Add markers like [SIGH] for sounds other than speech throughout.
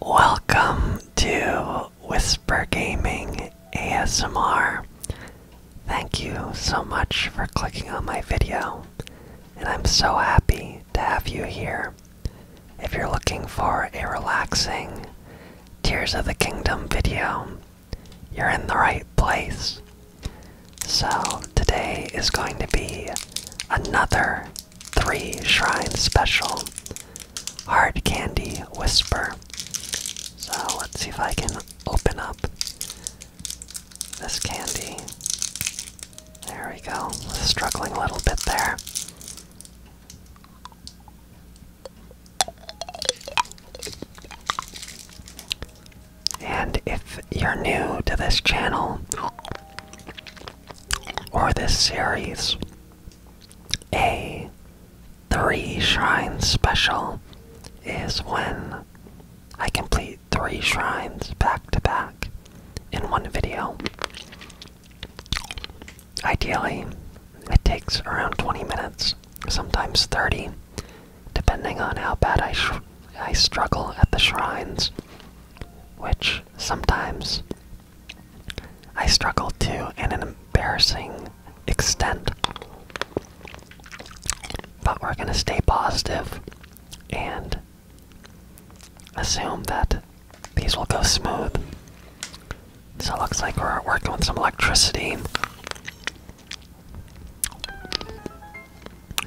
Welcome to Whisper Gaming ASMR. Thank you so much for clicking on my video, and I'm so happy to have you here. If you're looking for a relaxing Tears of the Kingdom video, you're in the right place. So, today is going to be another 3 Shrine Special Hard Candy Whisper. So let's see if I can open up this candy. There we go. Struggling a little bit there. And if you're new to this channel, or this series a three shrine special is when I complete three shrines back to back in one video. Ideally, it takes around 20 minutes, sometimes 30, depending on how bad I, I struggle at the shrines, which sometimes I struggled too, in an embarrassing extent. But we're going to stay positive and assume that these will go smooth. So it looks like we're working with some electricity.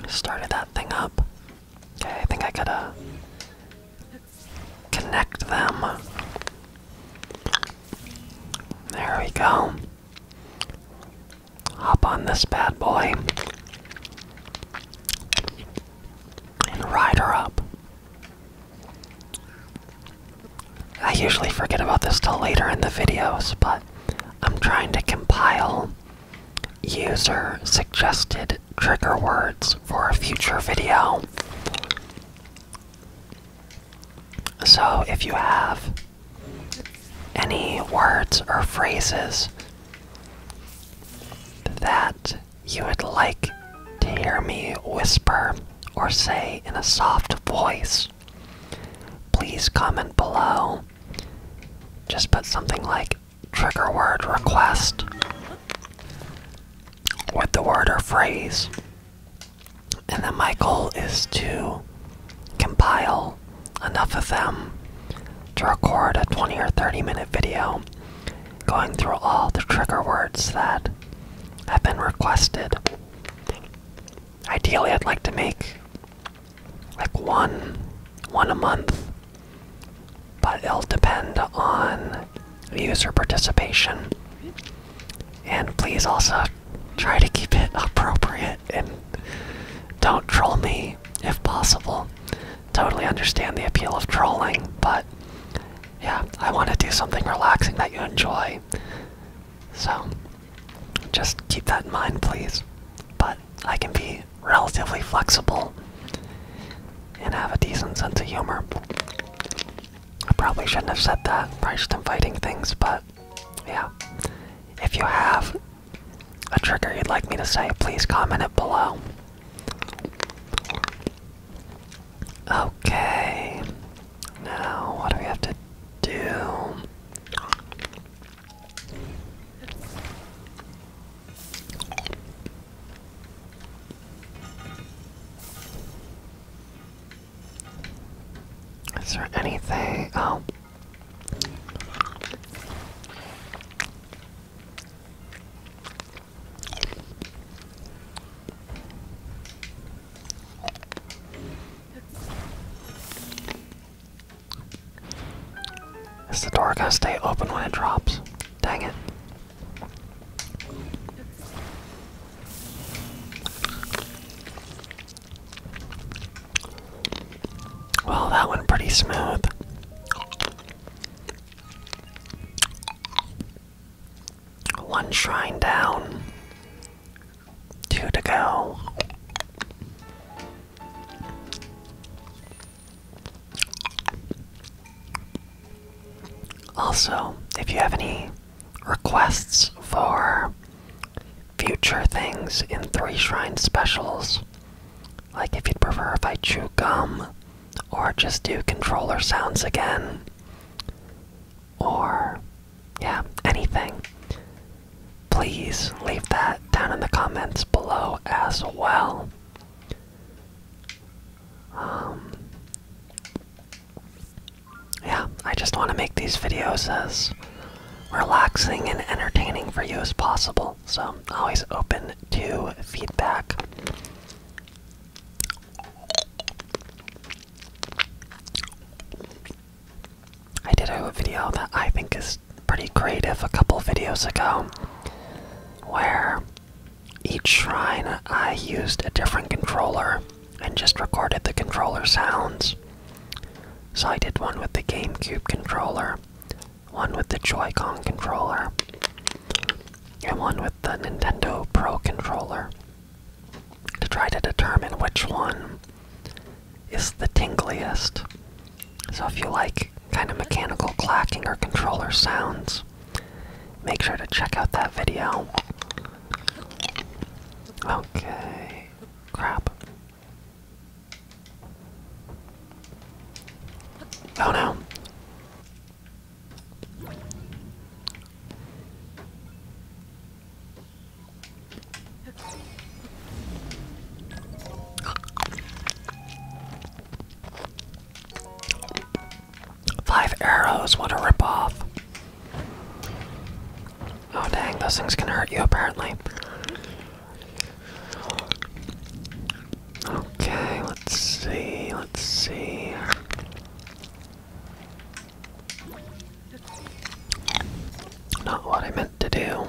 Started that thing up. Okay, I think I gotta connect them. There we go. Hop on this bad boy and ride her up. I usually forget about this till later in the videos, but I'm trying to compile user suggested trigger words for a future video. So if you have any words or phrases that you would like to hear me whisper or say in a soft voice, please comment below. Just put something like trigger word request with the word or phrase. And then my goal is to compile enough of them to record a 20 or 30 minute video going through all the trigger words that have been requested. Ideally, I'd like to make like one one a month but it'll depend on user participation. And please also try to keep it appropriate and don't troll me if possible. Totally understand the appeal of trolling, but yeah, I want to do something relaxing that you enjoy. So just keep that in mind, please. But I can be relatively flexible and have a decent sense of humor. I probably shouldn't have said that, probably just inviting things, but yeah. If you have a trigger you'd like me to say, please comment it below. Okay, now what do we have to do? Is there anything? Oh. Is the door gonna stay open when it drops? Dang it. Well, that went pretty smooth. One shrine down, two to go. Also, if you have any requests for future things in Three Shrine specials, like if you'd prefer if I chew gum, or just do controller sounds again, or yeah, anything, please leave that down in the comments below as well. Um, yeah, I just want to make these videos as relaxing and entertaining for you as possible. So I'm always open to feedback. I did a video that I think is pretty creative a couple videos ago where each shrine I used a different controller and just recorded the controller sounds. So I did one with the GameCube controller, one with the Joy-Con controller, and one with the Nintendo Pro controller to try to determine which one is the tingliest. So if you like kind of mechanical clacking or controller sounds, make sure to check out that video. Okay, crap. Oh no. Five arrows, what a ripoff. Oh dang, those things can hurt you apparently. Okay, let's see, let's see. Not what I meant to do.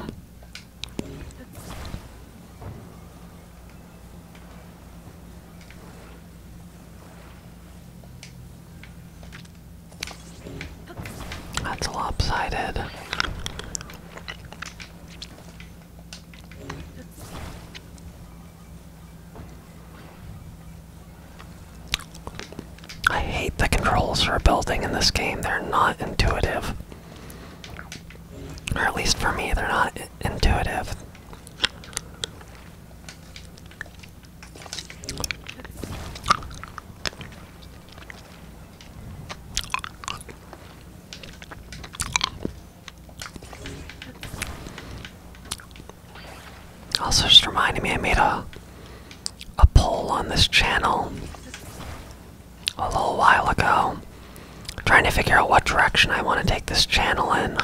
That's lopsided. I hate the controls for building in this game. They're not intuitive. Or at least for me, they're not intuitive. Also, just reminding me, I made a a poll on this channel a little while ago, trying to figure out what direction I want to take this channel in.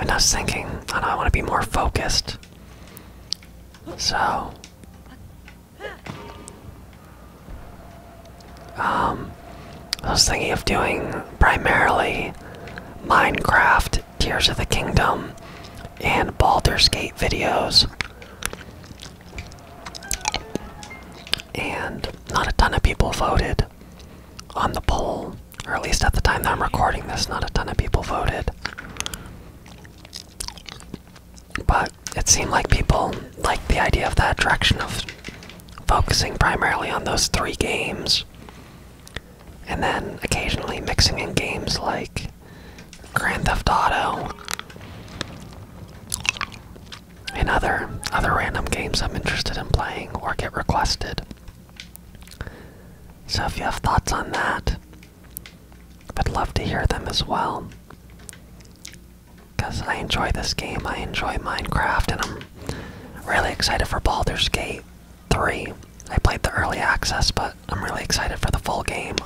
And I was thinking, I, know, I want to be more focused. So, um, I was thinking of doing primarily Minecraft, Tears of the Kingdom, and Baldur's Gate videos. And not a ton of people voted on the poll, or at least at the time that I'm recording this, not a ton of people voted. But it seemed like people liked the idea of that direction of focusing primarily on those three games. And then occasionally mixing in games like Grand Theft Auto, and other other random games I'm interested in playing or get requested. So if you have thoughts on that, I'd love to hear them as well. Cause I enjoy this game, I enjoy Minecraft, and I'm really excited for Baldur's Gate 3. I played the early access, but I'm really excited for the full game.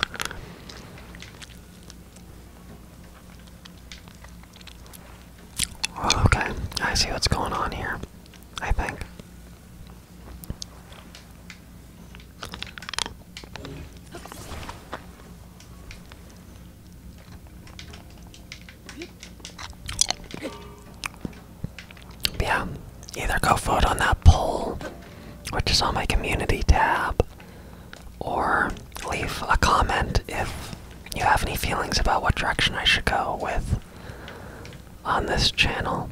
Oh, okay, I see what's going on here, I think. Yeah, either go vote on that poll, which is on my community tab, or leave a comment if you have any feelings about what direction I should go with on this channel.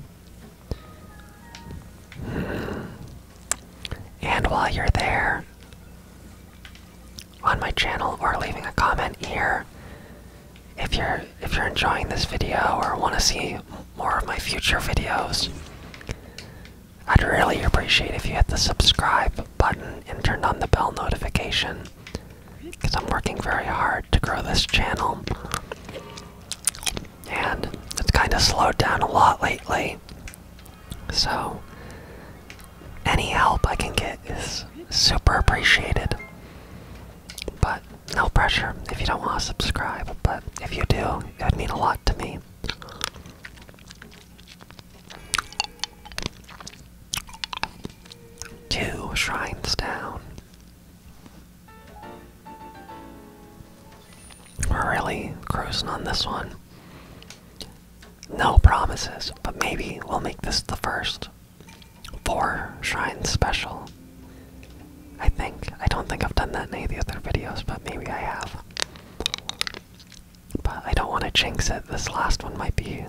Hmm. And while you're there on my channel or leaving a comment here, if you're if you're enjoying this video or want to see more of my future videos, I'd really appreciate if you hit the subscribe button and turned on the bell notification because I'm working very hard to grow this channel. And it's kind of slowed down a lot lately. So, any help I can get is super appreciated. But no pressure if you don't want to subscribe. But if you do, it would mean a lot to me. Two shrines down. We're really cruising on this one. No promises, but maybe we'll make this the first four shrine special. I think. I don't think I've done that in any of the other videos, but maybe I have. But I don't want to jinx it. This last one might be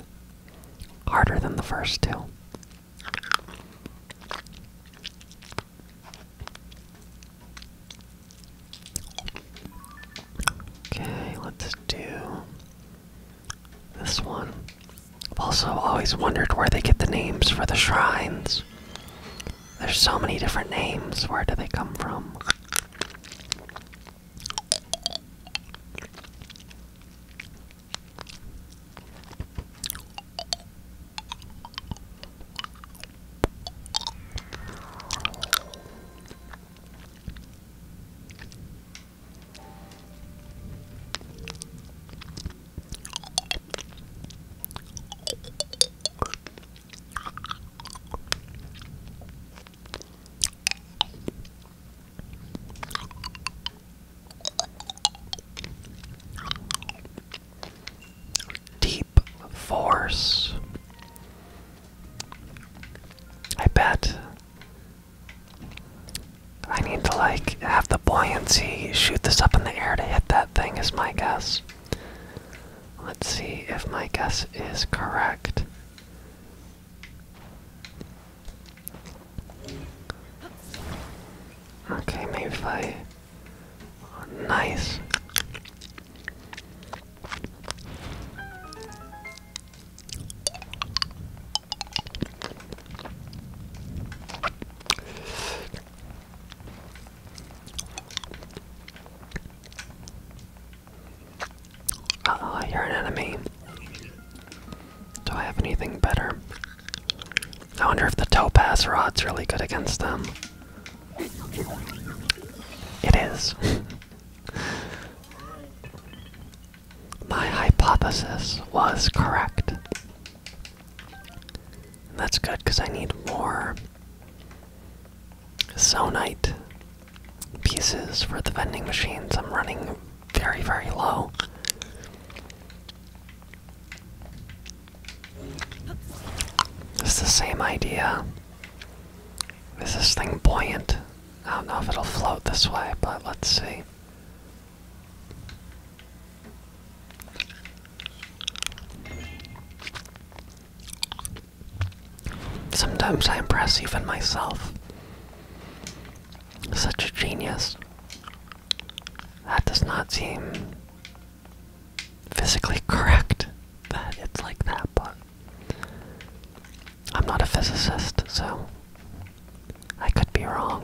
harder than the first two. Okay, let's do this one. I've also always wondered where they get the names for the shrines. There's so many different names. Where do they come from? Deep Force. I bet I need to like have the buoyancy shoot this up in the air to hit that thing, is my guess. Let's see if my guess is correct. Okay, maybe I. nice oh, you're an enemy. Do I have anything better? I wonder if the topaz rod's really good against them. It is. [LAUGHS] My hypothesis was correct. that's good because I need more Sonite pieces for the vending machines. I'm running very, very low. It's the same idea. Is this thing buoyant? I don't know if it'll float this way, but let's see. Sometimes I impress even myself. Such a genius. That does not seem physically correct [LAUGHS] that it's like that, but I'm not a physicist, so I could be wrong.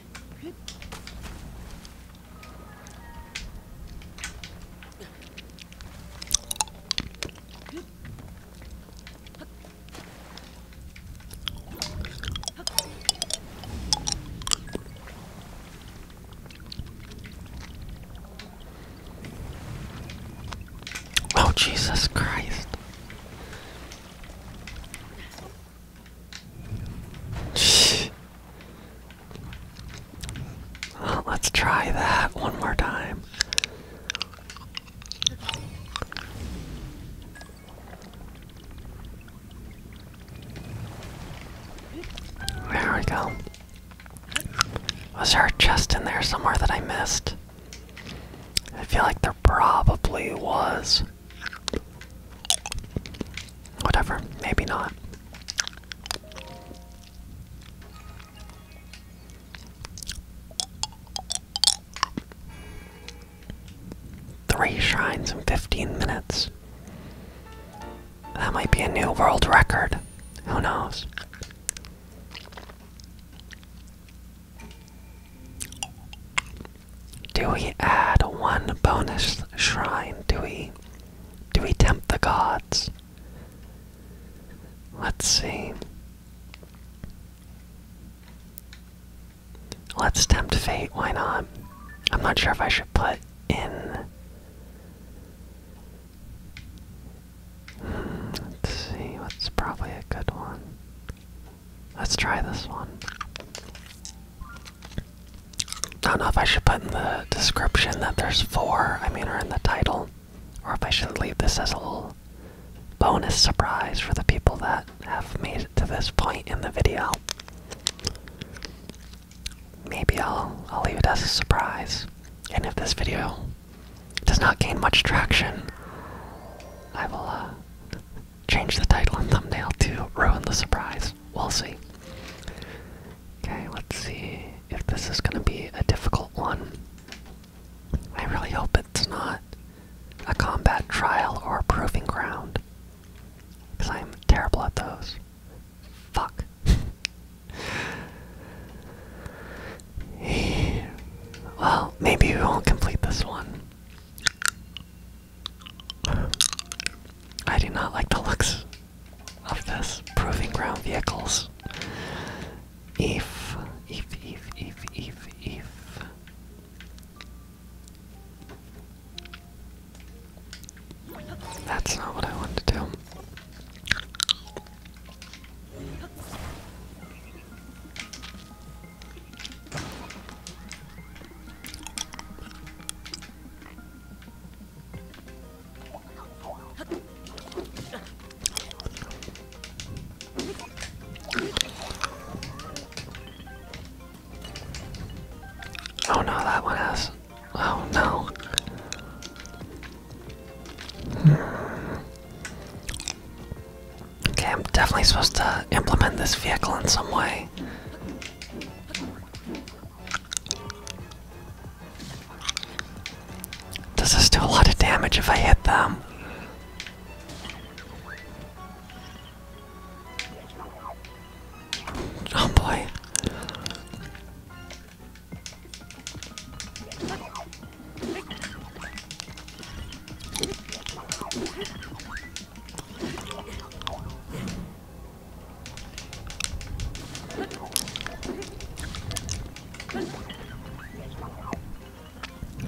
Oh, Jesus Christ. Let's try that one more time. There we go. Was there just in there somewhere that I missed? I feel like there probably was. Whatever, maybe not. Three shrines in 15 minutes. That might be a new world record. Who knows? Do we add one bonus shrine? Do we do we tempt the gods? Let's see. Let's tempt fate, why not? I'm not sure if I should put in hmm, let's see, what's probably a good one. Let's try this one. I don't know if I should put in the description that there's four, I mean, or in the title, or if I should leave this as a little bonus surprise for the people that have made it to this point in the video. Maybe I'll, I'll leave it as a surprise. And if this video does not gain much traction, I will uh, change the title and thumbnail to ruin the surprise. We'll see. Okay, let's see if this is gonna be a difficult one. I really hope it's not a combat trial or a proving ground. Because I'm terrible at those. Fuck. [LAUGHS] well, maybe we won't complete this one. I do not like the looks of this. Proving ground vehicles. If, if, if, if, if, if. That's not what I wanted to do. Oh no, that one has. Oh no. Okay, I'm definitely supposed to implement this vehicle in some way. Does this do a lot of damage if I hit them? Oh boy.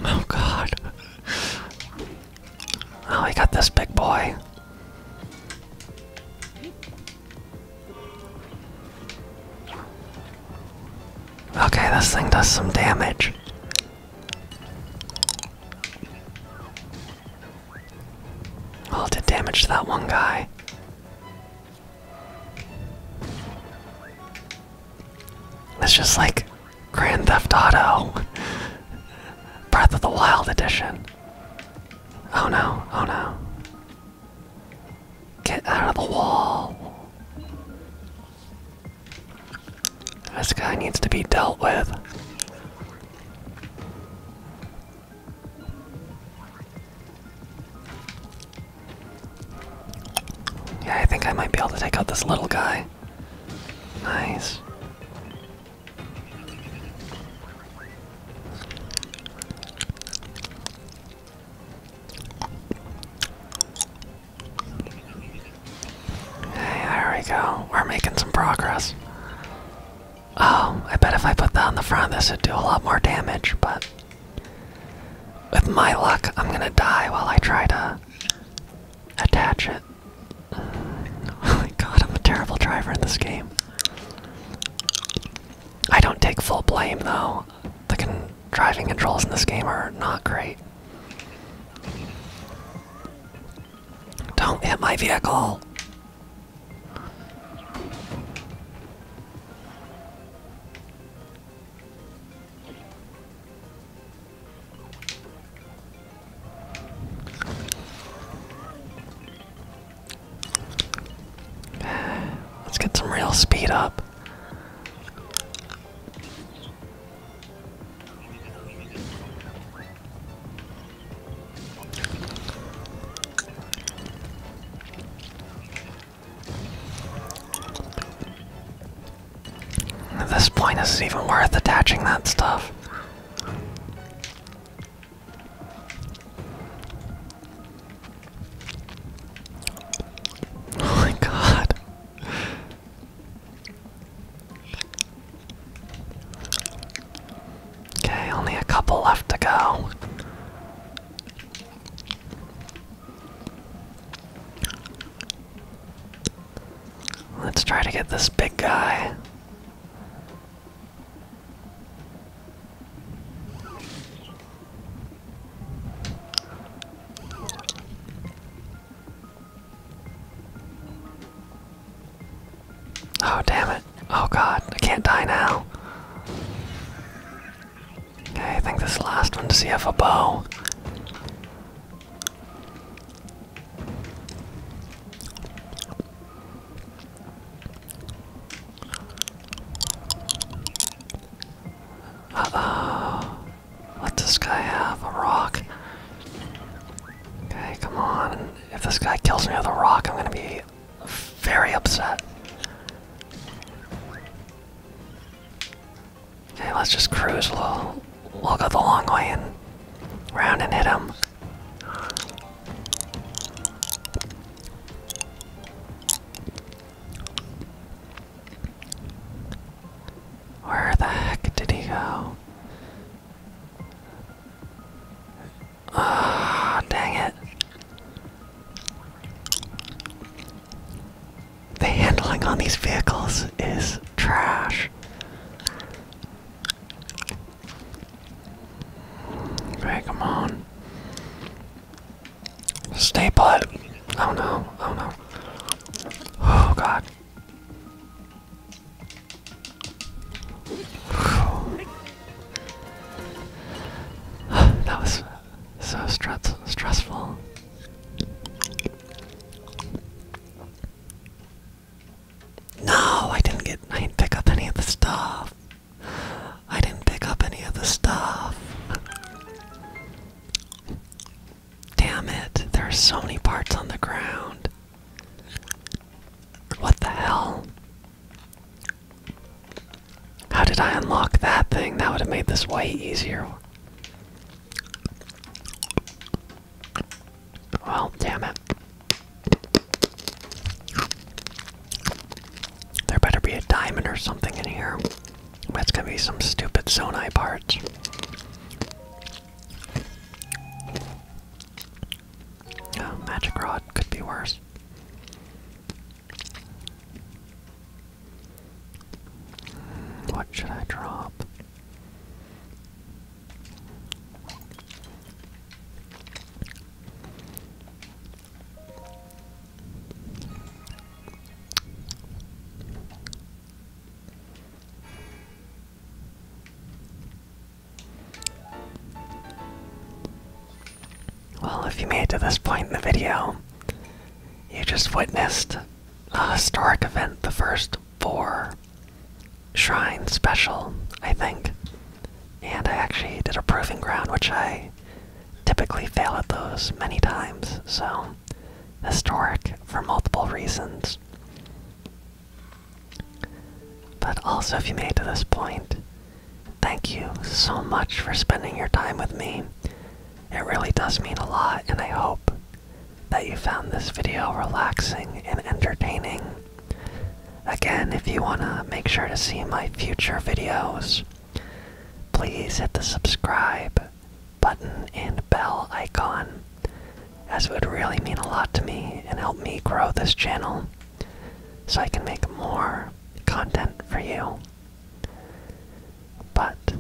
Oh God! Oh, he got this big boy. Okay, this thing does some damage. All did damage to that one guy. It's just like Grand Theft Auto [LAUGHS] Breath of the Wild edition. Oh no, oh no. Get out of the wall. This guy needs to be dealt with. Yeah, I think I might be able to take out this little guy. Nice there we go. We're making some progress. Oh, I bet if I put that on the front this, would do a lot more damage, but with my luck, I'm gonna die while I try to attach it. [LAUGHS] Oh my god, I'm a terrible driver in this game. I don't take full blame though. The driving controls in this game are not great. Don't hit my vehicle. [SIGHS] Let's get some real speed up. At this point, is it even worth attaching that stuff? Oh my god. Okay, only a couple left to go. Let's try to get this big guy. Oh, damn it. Oh, God. I can't die now. Okay, I think this last one. Does see have a bow? Uh let this guy have? A rock. Okay, come on. If this guy kills me with a rock, I'm gonna be very upset. Okay, let's just cruise. a little. we'll go the long way and round and hit him. Where the heck did he go? Ah, dang it. The handling on these vehicles is trash. Okay, come on. Stay put. Oh no, oh no. Oh god. [SIGHS] that was so stress stressful. No, I didn't get. I didn't pick up any of the stuff. I didn't pick up any of the stuff. Damn it, there are so many parts on the ground. What the hell? How did I unlock that thing? That would have made this way easier. Well, damn it. There better be a diamond or something in here. That's gonna be some stupid Sonai parts. Oh, magic rod could be worse. Hmm, what should I drop? Well, if you made it to this point in the video, you just witnessed a historic event, the first four shrine special, I think. And I actually did a proving ground, which I typically fail at those many times, so historic for multiple reasons. But also, if you made to this point, thank you so much for spending your time with me. It really does mean a lot, and I hope that you found this video relaxing and entertaining. Again, if you want to make sure to see my future videos, please hit the subscribe button and bell icon, as it would really mean a lot to me and help me grow this channel so I can make more content for you. But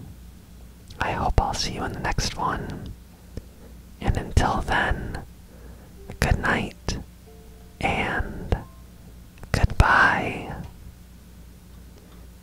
I hope I'll see you in the next one. And until then, good night and goodbye.